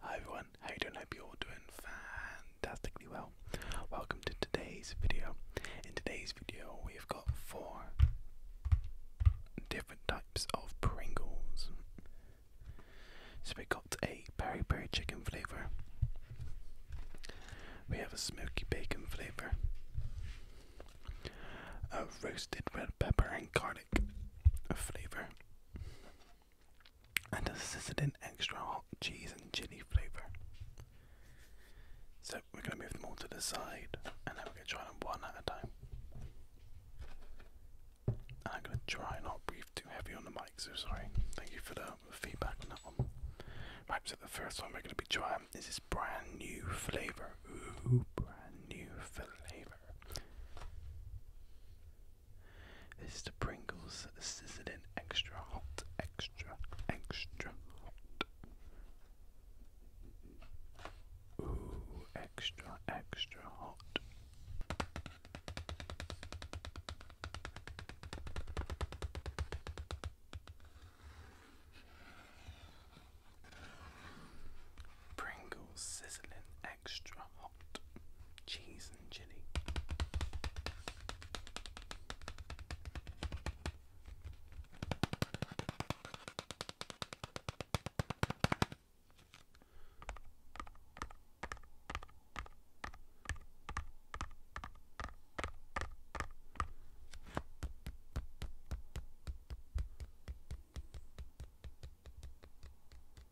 Hi everyone, how you doing? Hope you're all doing fantastically well. Welcome to today's video. In today's video we've got four different types of Pringles. So we have got a peri peri chicken flavour. We have a smoky bacon flavour. A roasted red pepper and garlic flavour and a in extra hot cheese and chili flavour. So we're going to move them all to the side and then we're going to try them one at a time. And I'm going to try not breathe too heavy on the mic, so sorry. Thank you for the feedback on that one. Right, so the first one we're going to be trying is this brand new flavour. Ooh, brand new flavour. This is the Pringles sizzling extra hot, extra, extra hot. Ooh, extra, extra hot. Pringles sizzling extra hot cheese and chili.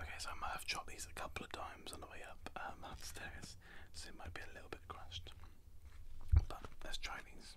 Okay, so I might have chopped these a couple of times on the way up um, upstairs, so it might be a little bit crushed. But let's try these.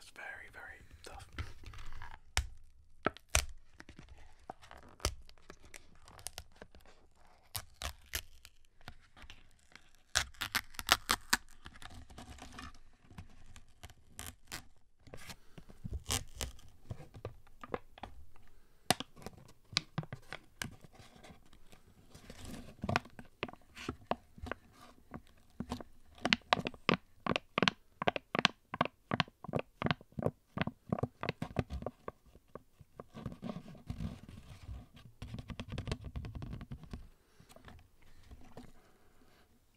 it's very, very tough.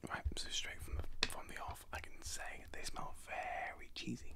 Right, so straight from from the off, I can say they smell very cheesy.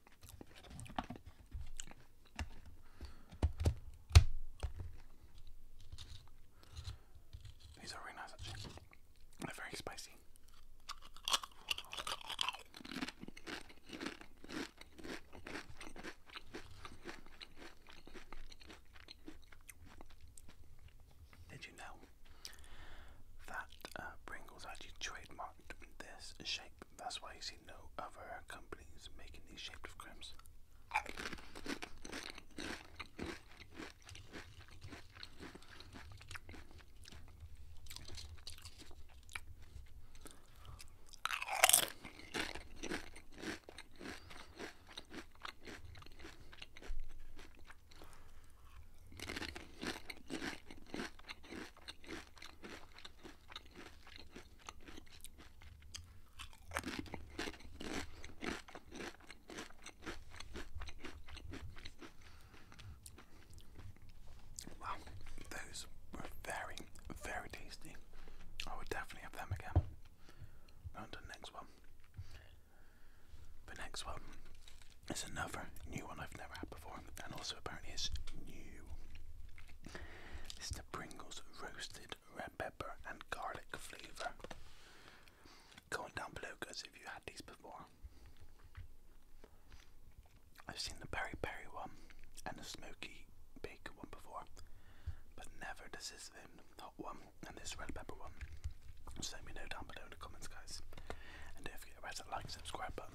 These are really nice They're very spicy. Did you know that uh, Pringles actually trademarked this shape? That's why you see see no other companies making these shaped of crimps. Wow, those were very, very tasty. I would definitely have them again. On to next one. The next one is another new one I've never had and also apparently it's new. It's the Pringles roasted red pepper and garlic flavour. Comment down below, guys, if you had these before. I've seen the peri peri one and the smoky bacon one before, but never this is the hot one and this red pepper one. So let me know down below in the comments, guys, and don't forget to press that like subscribe button.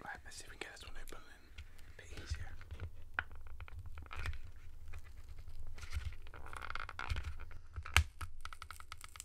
Alright, let's see if we can get this one open and a bit easier.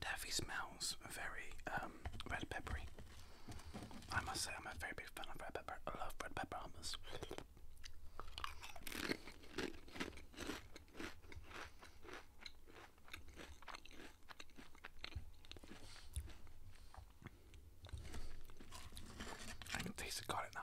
Taffy smells very um, red peppery. I must say, I'm a very big fan of red pepper. I love red pepper hummus. I can taste the garlic now.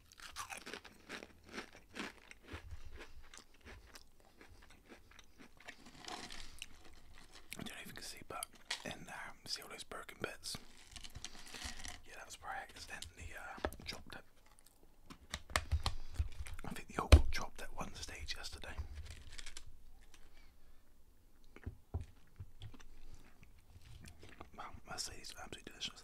I don't know see, but and um, see all those broken bits. Yeah, that was probably accidentally uh, I think the old dropped at one stage yesterday. Well, must say these are absolutely delicious.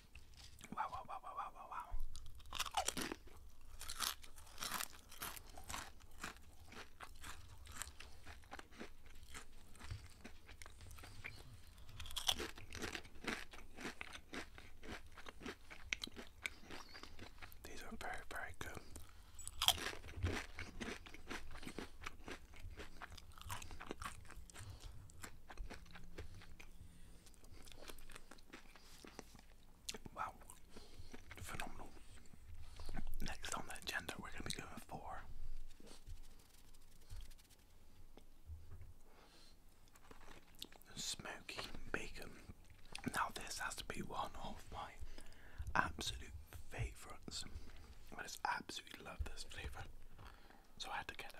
Wow, wow, wow, wow, wow, wow, wow. These are very, very good. Wow, phenomenal. Next on the agenda, we're going to be for smoky bacon. Now, this has to be one of my absolute favourites. I just absolutely love this flavour so I had to get up.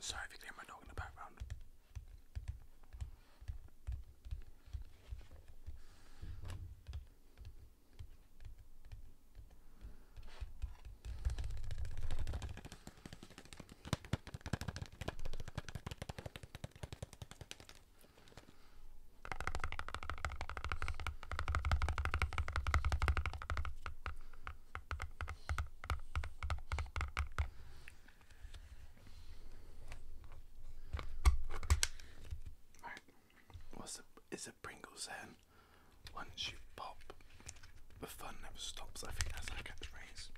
Sorry if you can hear my dog in the background. What's the is a Pringles saying? Once you pop, the fun never stops. I think that's our catchphrase.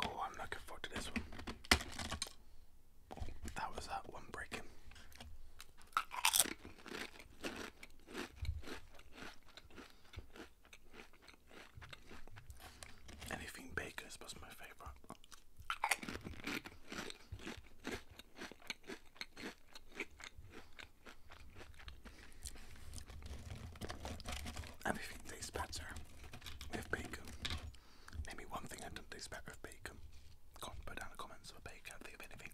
Oh, I'm looking forward to this one. That was that one breaking. Anything bakers was my favorite. Everything tastes better with bacon. Maybe one thing I didn't expect better bacon. put down the comments for bacon. think of anything.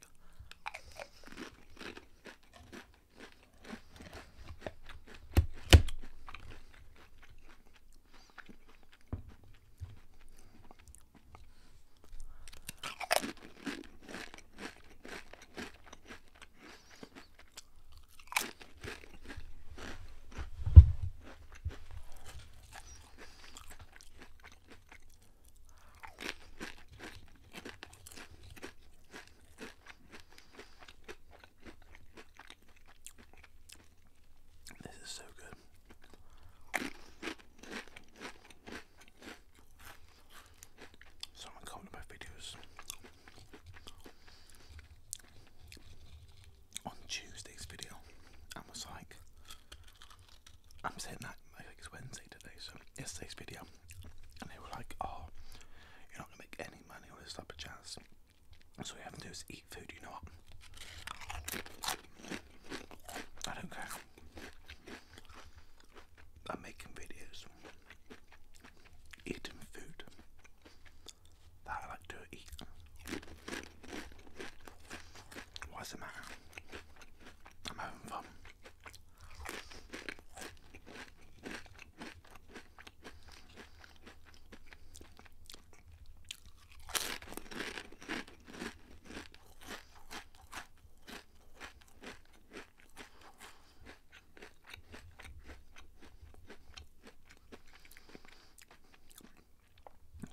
This is so good. Someone comment on my videos on Tuesday's video and was like, I'm saying that I think it's Wednesday today, so yesterday's video, and they were like, oh, you're not gonna make any money on this type of chance. So all you have to do is eat food. You know what? I don't care. I'm making videos, eating food that I like to eat. What's the matter? I'm having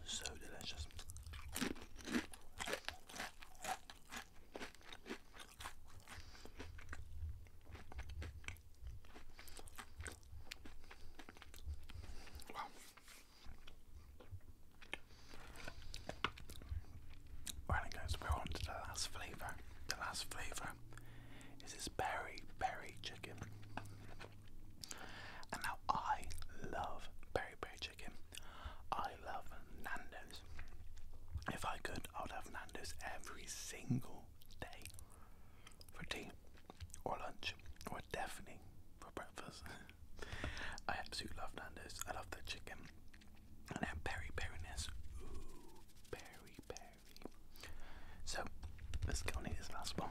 so delicious. Wow. Right guys, we're on the last flavour. The last flavour is this berry, berry chicken. And now I love peri peri chicken. I love Nando's. If I could, I would have Nando's every single day for tea or lunch or definitely for breakfast. I absolutely love Nando's. I love the chicken and their peri periness. Ooh, peri peri. So let's go on to this last one.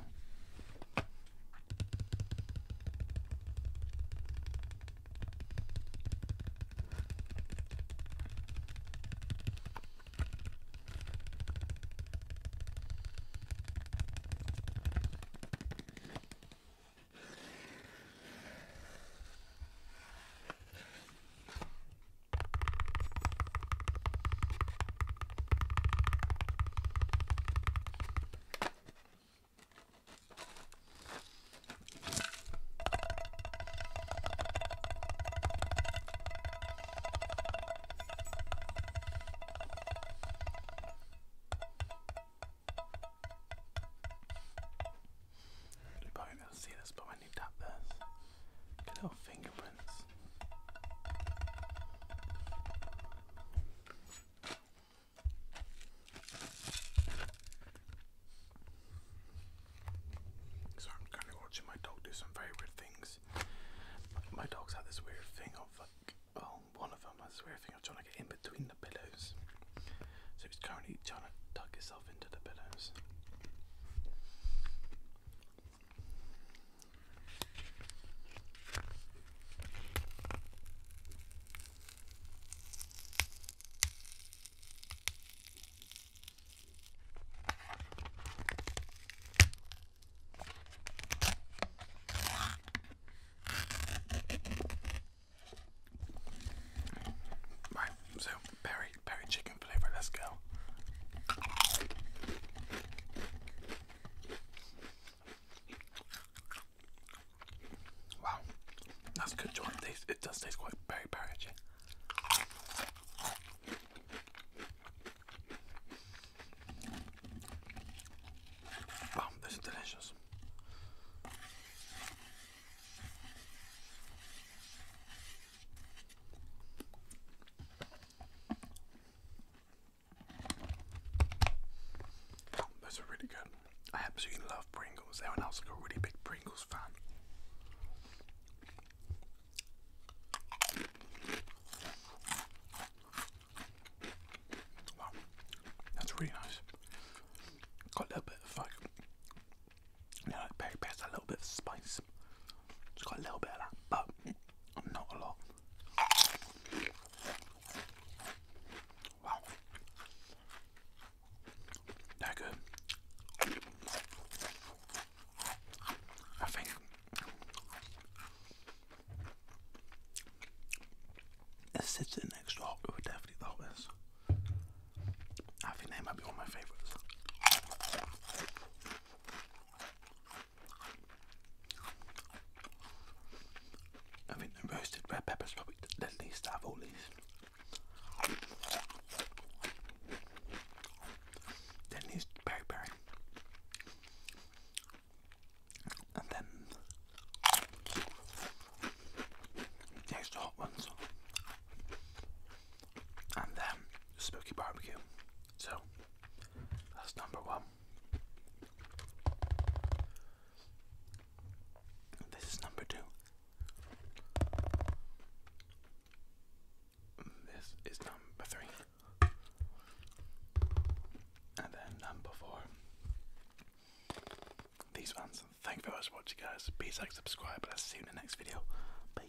You probably gonna see this, but when you tap this, Hello, fingerprints. So I'm kind watching my dog do some very weird things. My, dog's had this weird thing of like, of them has this weird thing of trying to get in between the pillows. So he's currently trying to tuck himself into the pillows. Right, so berry, berry cheese chicken flavor. Let's go. Wow, that's good, Jordan. Taste it does taste quite very perigee. Wow, this is delicious. Those are really good. I absolutely love Pringles. Everyone else is a really big Pringles fan. Wow, that's really nice. Got a little bit of like, you know, like a little bit of spice. Just got a little bit of that, but not a lot. Wow. they good. I think a sitting extra hot would definitely the hottest. I think they might be one of my favourites. I think the roasted red pepper's probably the least out of all these. Then there's peri peri. And then there's the hot ones. And then smoky barbecue. So that's number one. This is number two. This is number three. And then number four. These ones. Thank you very much for watching guys. Please like, subscribe, and I'll see you in the next video. Bye.